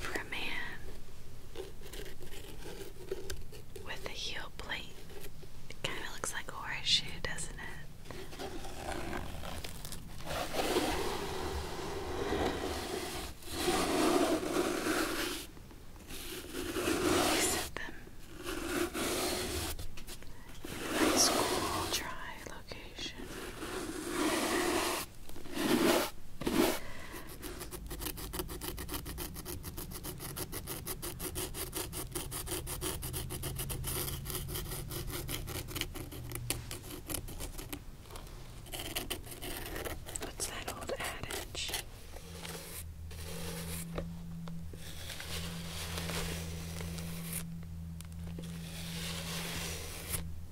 for a man with a heel plate. It kind of looks like a horseshoe, doesn't it? We set them in a nice cool, dry location. What's that old adage?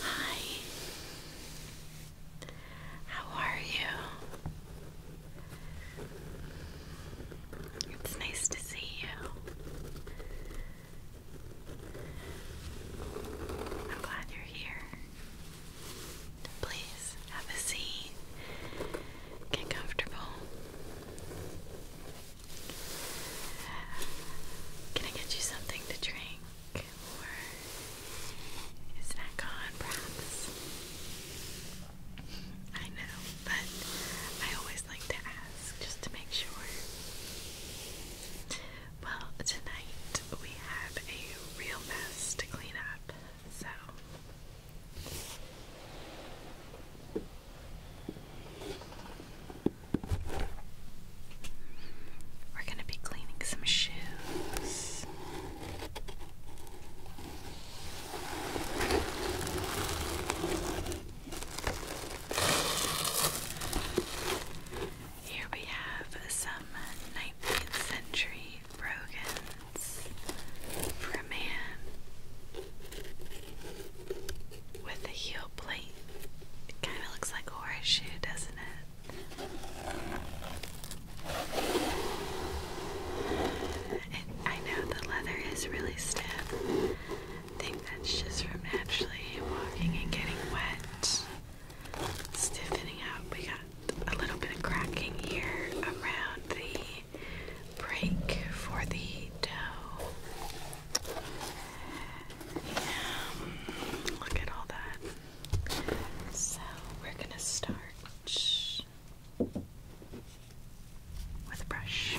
Hi. How are you? It's nice to see you. I'm glad you're here. Please have a seat. Get comfortable. Can I get you something to drink? Or is that gone, perhaps? I know, but I always like to ask just to make sure. Well, tonight we have a real mess to clean up, so we're going to be cleaning some shoes. Here we have some 19th century brogans for a man with the heel plate. It kind of looks like a horseshoe, doesn't it? I know the leather is really stiff. think that's just from naturally walking and getting wet. Stiffening up. We got a little bit of cracking here around the break for the dough. Yeah, look at all that. So we're gonna start with a brush.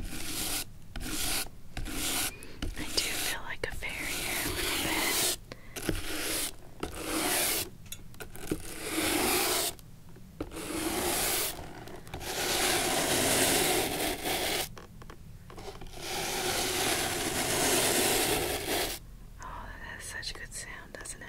I do feel like a fairy a little bit. Oh, that has such good sound, doesn't it?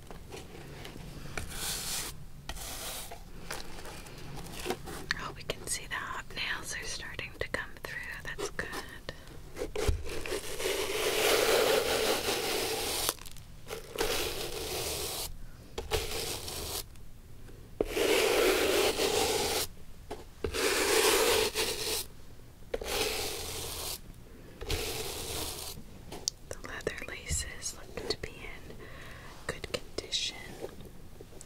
Oh, we can see the hot nails are starting to come through. That's good. The leather laces look to be in good condition.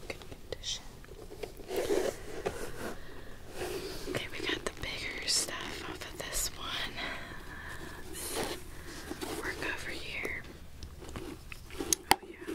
Good condition. Okay, we got the bigger stuff off of this one. work over here. Oh, yeah.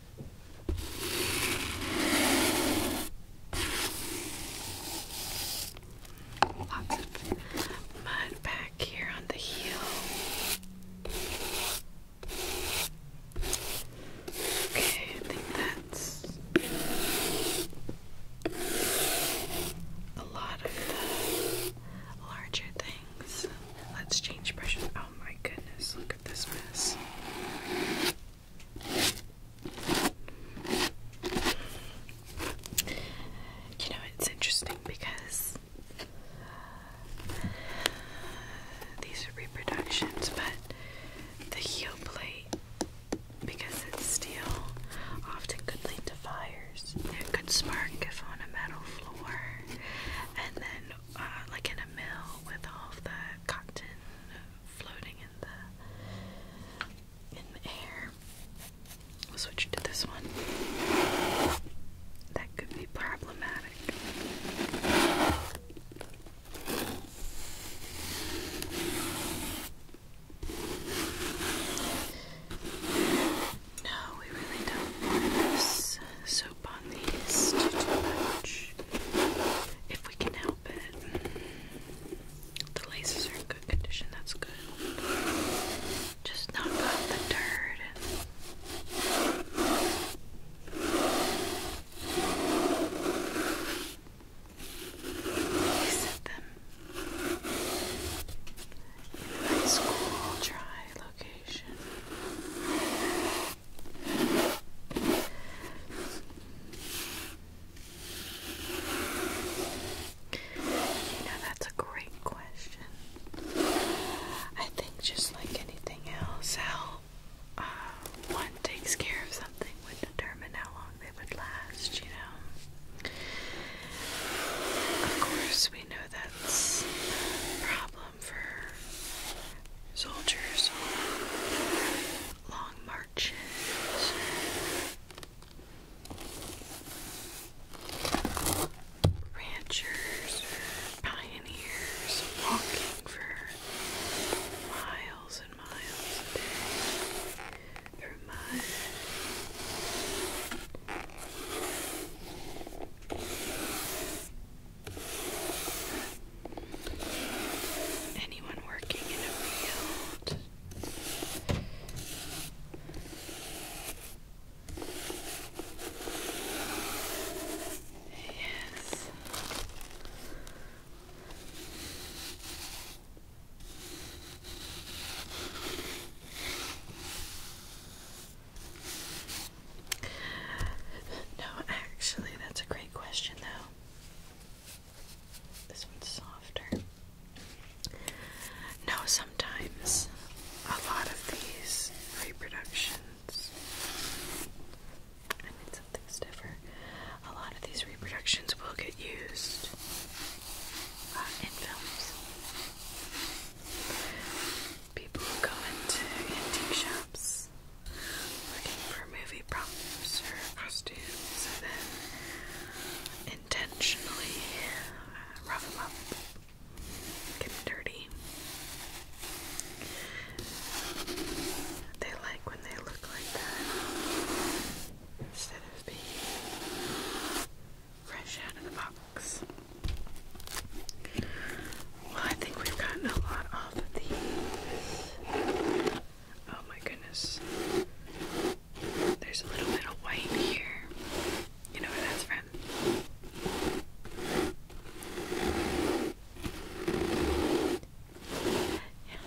Lots of mud back here on the heel. Okay, I think that's a lot of the larger things. Let's change pressure. Oh, Oh my goodness, look at this mess. You know, it's interesting because these reproductions, but the heel plate, because it's steel, often could lead to fires. It could spark if on a metal floor, and then uh, like in a mill with all the cotton floating in the in the air. switch to this one. That could be problematic. No, we really don't So if we can help it. Mm. The laces are in good condition, that's good. Just knock off the dirt. set them in a nice cool dry location. You know, that's a great question. I think just like anything else, how uh, one takes care of something would determine how long they would last, you know. Of course, we know that's a problem for soldiers on long marches. Ranchers, pioneers walking for miles and miles a day through mud. Anyone working in a field? Yes. No, actually, that's a great question, though. This one's softer. No, sometimes a lot of these reproductions, I mean, something stiffer, a lot of these reproductions will get used uh, in films people go into antique shops looking for movie props or costumes and then intentionally uh, rough them up, get them dirty. They like when they look like that instead of being fresh out of the box. Well, I think we've gotten a lot off of these. Oh my goodness. There's a little bit of white here. You know where that's from? Yeah.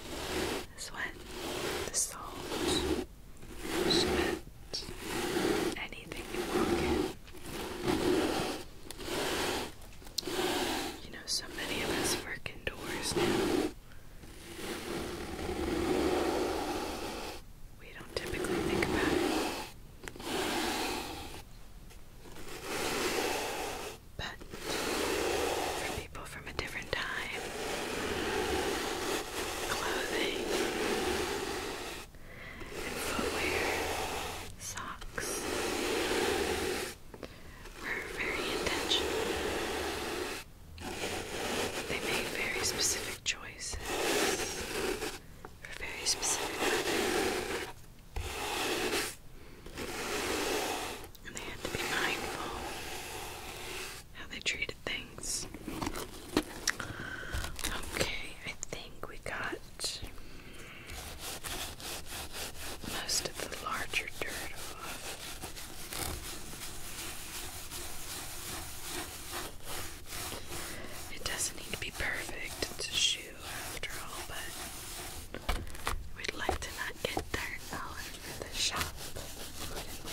This one. The salt. Spit. Anything you know, so many of us work indoors now. We don't typically think about it. But for people from a different time, clothing and footwear, socks looks are very intentional. They make very specific choices for very specific weapons. And they had to be mindful how they treated things. Okay, I think we got most of the larger dirt off. It doesn't need to be perfect, it's a shoe after all, but we'd like to not get dirt all over the shop, wouldn't we?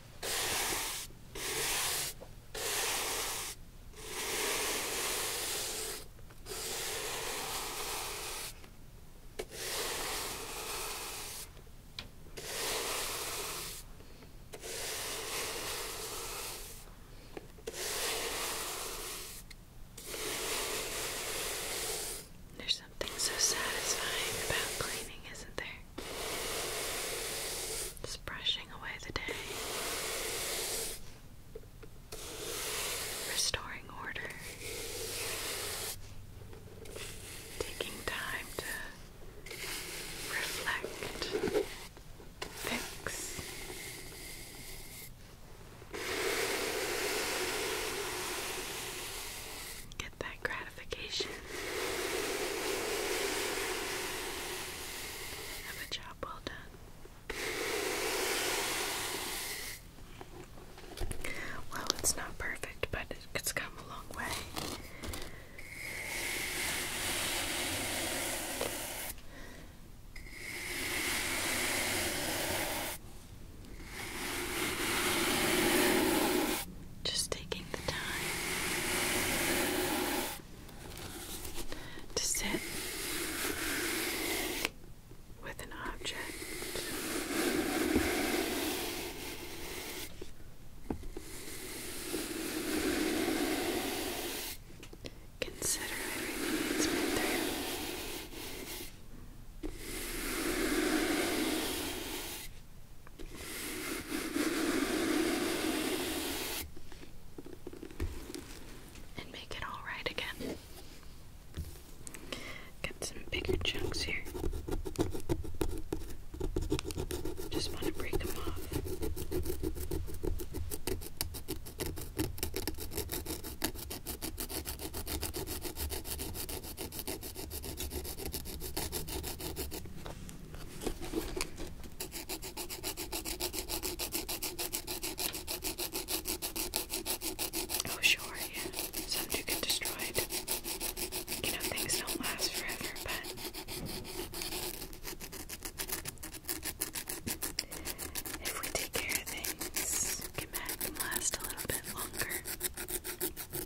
there's something so satisfying about cleaning, isn't there? brushing away the day, restoring order, taking time to reflect, fix. Get that gratification of a job well done. Well, it's not perfect, but it's come a long way. Just taking the time to sit with an object. Consider everything through. And make it all right again. Got some bigger chunks here. Just want to break them off. Oh, sure, yeah. something do destroy it. You know, things don't last forever, but. If we take care of things, can last a little bit longer.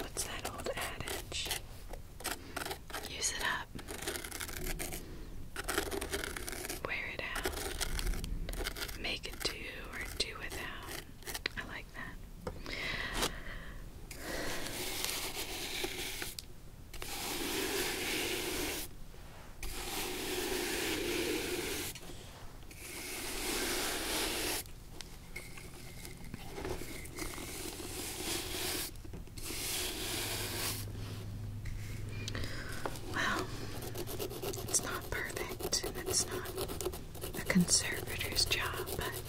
What's that old adage? Use it up. Wear it out. Make do or do without. I like that. Well, it's not perfect, and it's not a conservator's job, it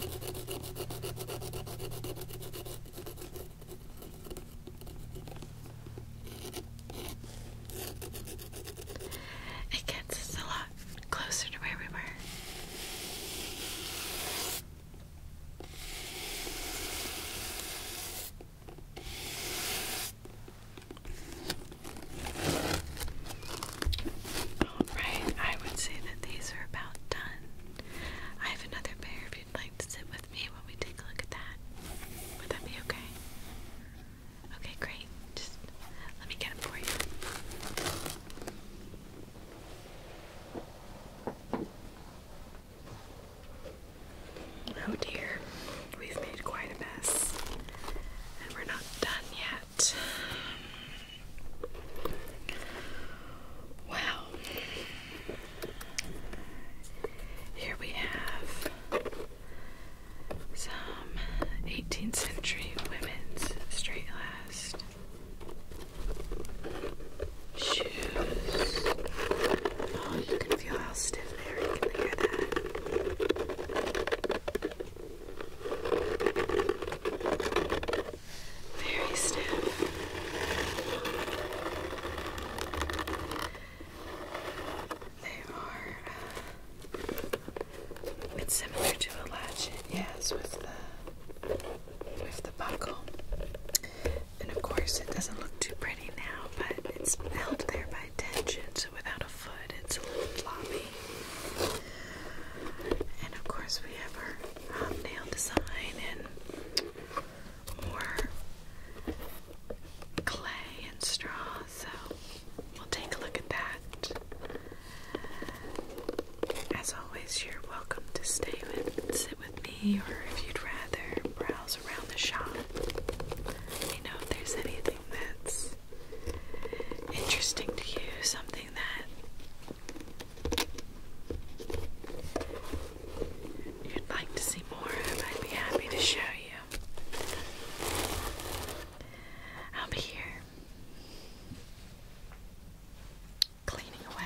gets us a lot closer to where we were. Alright, I would say that these are about done. I have another pair if you'd like to sit with me while we take a look at that. Would that be okay? Okay, great. Just let me get them for you. Oh dear, we've made quite a mess. And we're not done yet. Wow. Here we have some 18th century women's straight last shoes. Oh, you can feel how stiff they are. You can hear that very stiff. They are, uh, it's similar to a latchet, yes, with the, with the buckle. And of course, it doesn't look too pretty now, but it's held there by tension, so without a foot, it's a little floppy. And of course, we have our nail design and more clay and straw. So we'll take a look at that. As always, you're welcome to stay with, sit with me, or if you'd rather browse around the shop. Let know if there's anything that's interesting to you, something that you'd like to see more of, I'd be happy to show you. I'll be here cleaning away.